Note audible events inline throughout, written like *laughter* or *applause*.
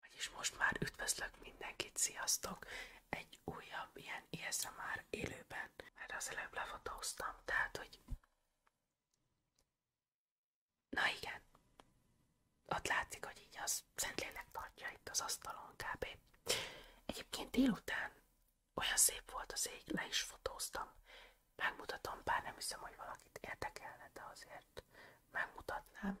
Vagyis most már üdvözlök mindenkit, sziasztok! Egy újabb ilyen érzem már élőben, mert az előbb lefotóztam, tehát hogy... Na igen, ott látszik, hogy így az Szentlélek tartja itt az asztalon kb. Egyébként délután olyan szép volt az ég, le is fotóztam. Megmutatom, bár nem hiszem, hogy valakit érdekelne, de azért megmutatnám.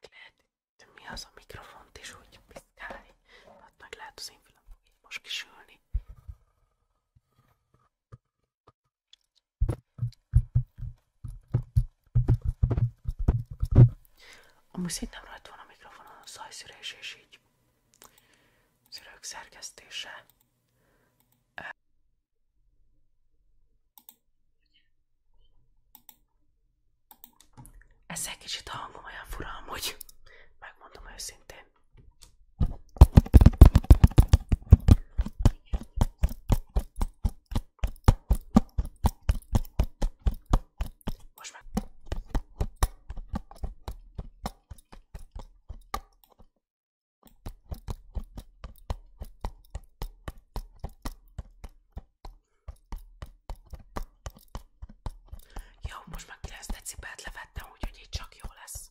Meg lehet itt, mi az a mikrofont is úgy piszkálni. Hát meg lehet az most kisülni. Amúgy szintén rajta van mikrofonon a zajszűrés és így szűrők szerkesztése. Ezzel kicsit a hangom olyan fura amúgy, megmondom őszintén. Most meg... Jó, most már 9 decibelt levettem, úgyhogy így csak jó lesz.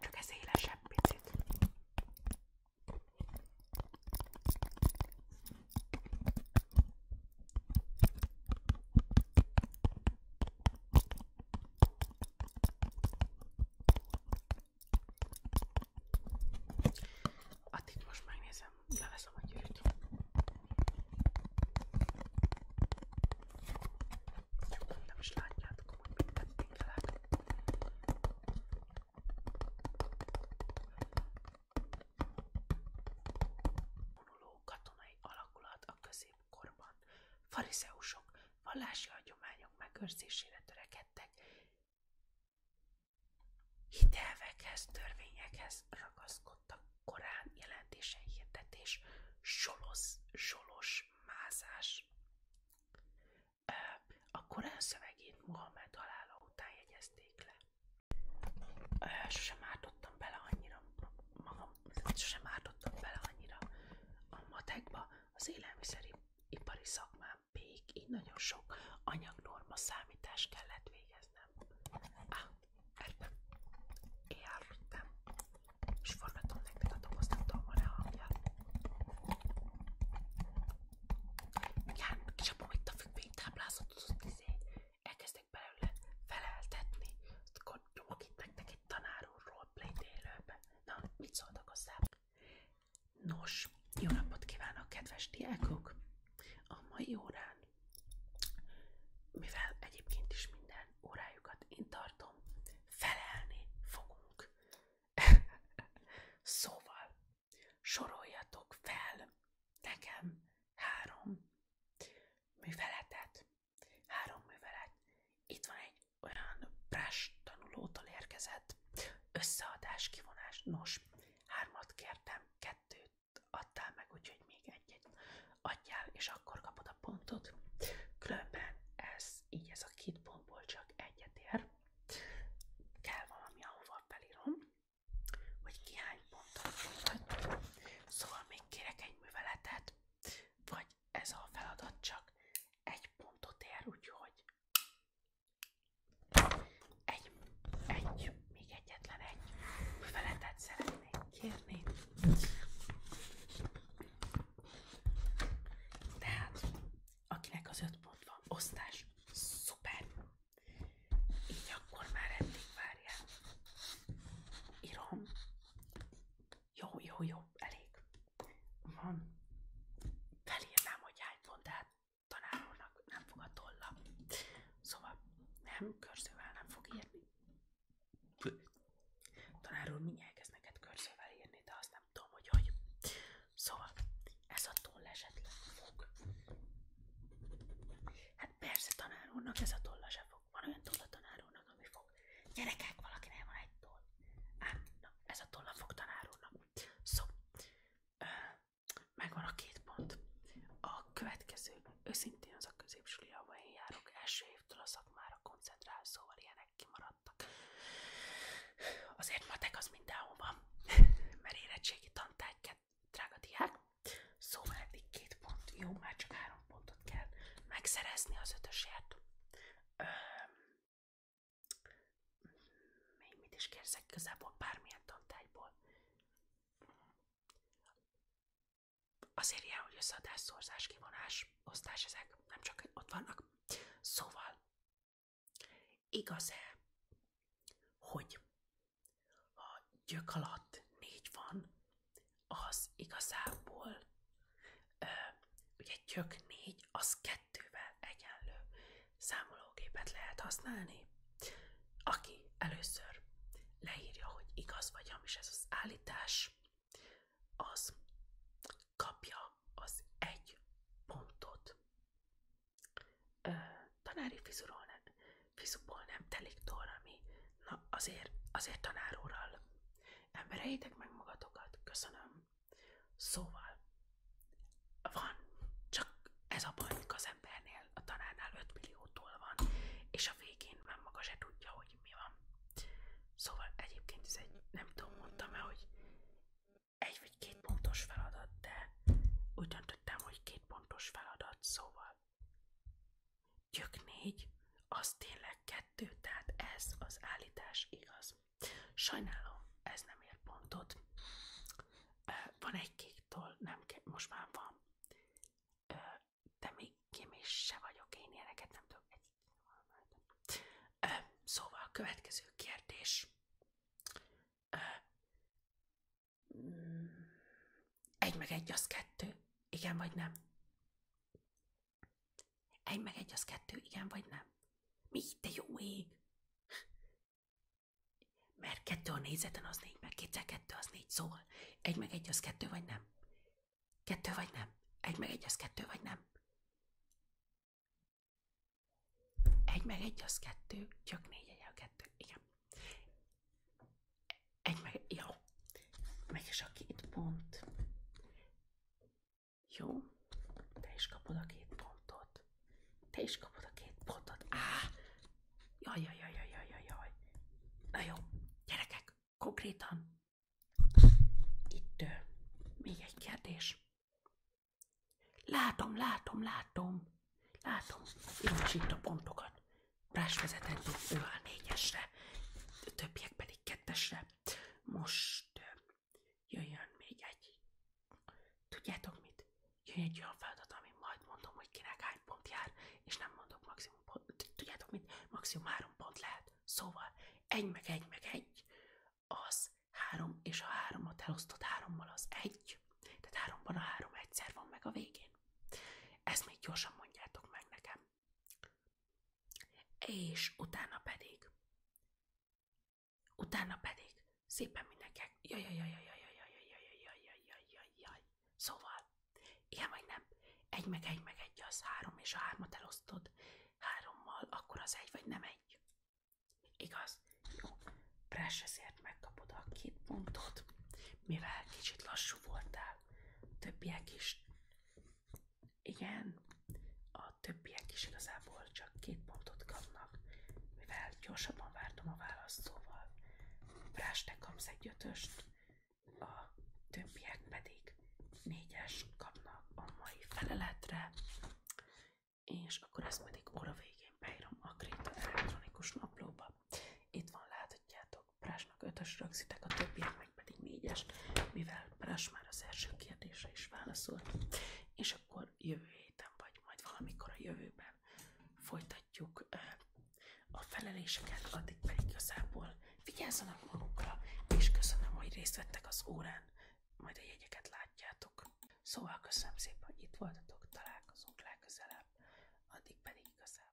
Csak ez élesebb picit. Addig most megnézem Élvezem, élvezem a gyűrűt. Csak nem is látjátok, hogy mit tettünk el. Vonuló katonai alakulat a középkorban. Farizeusok vallási hagyományok megőrzésére törekedtek, Hitelvekhez, törvényekhez ragaszkodtak korán jelentésen hirdetés, solos, solos mázás. A korán szövegét Mohamed halála után jegyezték le. Sosem ártottam bele annyira magam, sosem ártottam bele annyira a matekba, az élelmiszeri ipari szakmán még így nagyon sok anyagnorma számítás kellett végezni. Á, értem. Értem. És forgatom nektek a dobozt, nem tudom, van-e hangja. Igen, kicsapom itt a függvénytáblázatot, azt izé, elkezdek belőle feleltetni. Akkor nyomok itt nektek egy tanár úr roleplay élőbe. Na, mit szóltak hozzá? Nos, jó napot kívánok, kedves diákok! A mai órán, mivel egyébként is minden órájukat én tartom, felelni fogunk. *laughs* szóval, soroljatok fel nekem három műveletet. Három művelet. Itt van egy olyan brás tanulótól érkezett összeadás, kivonás. Nos, Hármat kértem, kettőt adtál meg, úgyhogy még egyet adjál, és akkor kapod a pontot. Különben ez így ez a két pontból csak egyet ér. Kell valami, ahova felírom, hogy ki hány pontot mondhat. Szóval még kérek egy műveletet, vagy ez a feladat csak egy pontot ér, úgyhogy egy, egy, még egyetlen egy feletet szeretnék kérni. Tehát, akinek az öt pont van, osztás, szuper! Így akkor már eddig várjál. Írom. Jó, jó, jó, elég. Van. Felírnám, hogy hány pont, de hát tanárulnak nem fog a tolla. Szóval nem, körzővel nem fog írni. Tanár úr mindjárt elkezd neked körzővel írni, de azt nem tudom, hogy hogy. Szóval ez a toll esetleg fog. Hát persze tanár úrnak ez a tolla se fog. Van olyan toll a tanár úrnak, ami fog. Gyerekek, valakinek van egy toll. Hát, na, ez a tolla fog tanár úrnak. Szóval megvan a két pont. A következő, őszintén az a középsuli, ahol én járok, első évtől a szakmára koncentrál, szóval ilyenek kimaradtak. Azért matek az mindenhol van, *laughs* mert érettségi tantárgyat, drága diák. Szóval eddig két pont, jó, már csak három pontot kell megszerezni az ötösért. Még mit is kérszek bármilyen tantárgyból. Azért ilyen, hogy összeadás, szorzás, kivonás, osztás ezek nem csak ott vannak. Szóval, igaz-e, hogy ha gyök alatt négy van, az igazából ugye gyök négy az kettővel egyenlő számológépet lehet használni, aki először leírja, hogy igaz vagy hamis ez az állítás, az kapja az egy pontot. Ö, tanári fizuról nem, fizuból nem telik torami. Na azért, azért tanár úrral. Embereitek meg magatokat, köszönöm. Szóval van, csak ez a baj, hogy az embernél, a tanárnál 5 milliótól van, és a végén már maga se tudja, hogy mi van. Szóval egyébként ez egy, nem tudom, mondtam-e, hogy egy vagy két pontos feladat, de úgy döntöttem, hogy két pontos feladat, szóval gyök négy, az tényleg kettő, tehát ez az állítás igaz. Sajnálom, ez nem ér pontot. Van egy kék nem kell, most már van. De még kémés vagyok, én ilyeneket nem tudok. Szóval következő kérdés. Mm, egy meg egy az kettő. Igen vagy nem? Egy meg egy az kettő, igen vagy nem? Mi, te jó ég? Mert kettő a négyzeten az négy, mert kétszer kettő az négy, szóval egy meg egy az kettő vagy nem? Kettő vagy nem? Egy meg egy az kettő vagy nem? Egy meg egy az kettő, csak négy egy a kettő, igen. Egy meg, jó. Meg is a két pont. Jó, te is kapod a két pontot. Te is kapod a két pontot. Á! Jaj, jaj, jaj, jaj, jaj, jaj. Na jó, gyerekek, konkrétan. Itt uh, még egy kérdés. Látom, látom, látom. Látom, jó, itt a pontokat. Brás ő a négyesre. A többiek pedig még kettesre. Most jöjjön még egy. Tudjátok mit? Jön egy olyan feladat, ami majd mondom, hogy kinek hány pont jár, és nem mondok maximum pont. Tudjátok mit? Maximum három pont lehet. Szóval egy meg egy meg egy, az három, és a háromat elosztott hárommal az egy. Tehát háromban a három egyszer van meg a végén. Ezt még gyorsan mondjátok meg nekem. És utána pedig, utána pedig szépen mindenkinek, jaj, jaj, jaj, jaj, jaj, jaj, jaj, jaj, jaj, jaj, jaj, jaj, szóval, ilyen vagy nem, egy meg egy meg egy az három, és a hármat elosztod hárommal, akkor az egy vagy nem egy. Igaz? Jó. Pressesért megkapod a két pontot, mivel kicsit lassú voltál, többiek is igen, a többiek is igazából csak két pontot kapnak, mivel gyorsabban vártam a választóval. Brás, te kapsz egy ötöst, a többiek pedig négyes kapnak a mai feleletre, és akkor ezt pedig óra végén beírom a Kréta elektronikus naplóba. Itt van, láthatjátok Látjátok, Prásnak ötös rögzítek, a többiek meg pedig négyes, mivel Prás már az első kérdésre is válaszolt. És akkor jövő héten vagy majd valamikor a jövőben folytatjuk a feleléseket, addig pedig igazából vigyázzanak magukra, és köszönöm, hogy részt vettek az órán, majd a jegyeket látjátok. Szóval köszönöm szépen, hogy itt voltatok, találkozunk legközelebb, addig pedig igazából.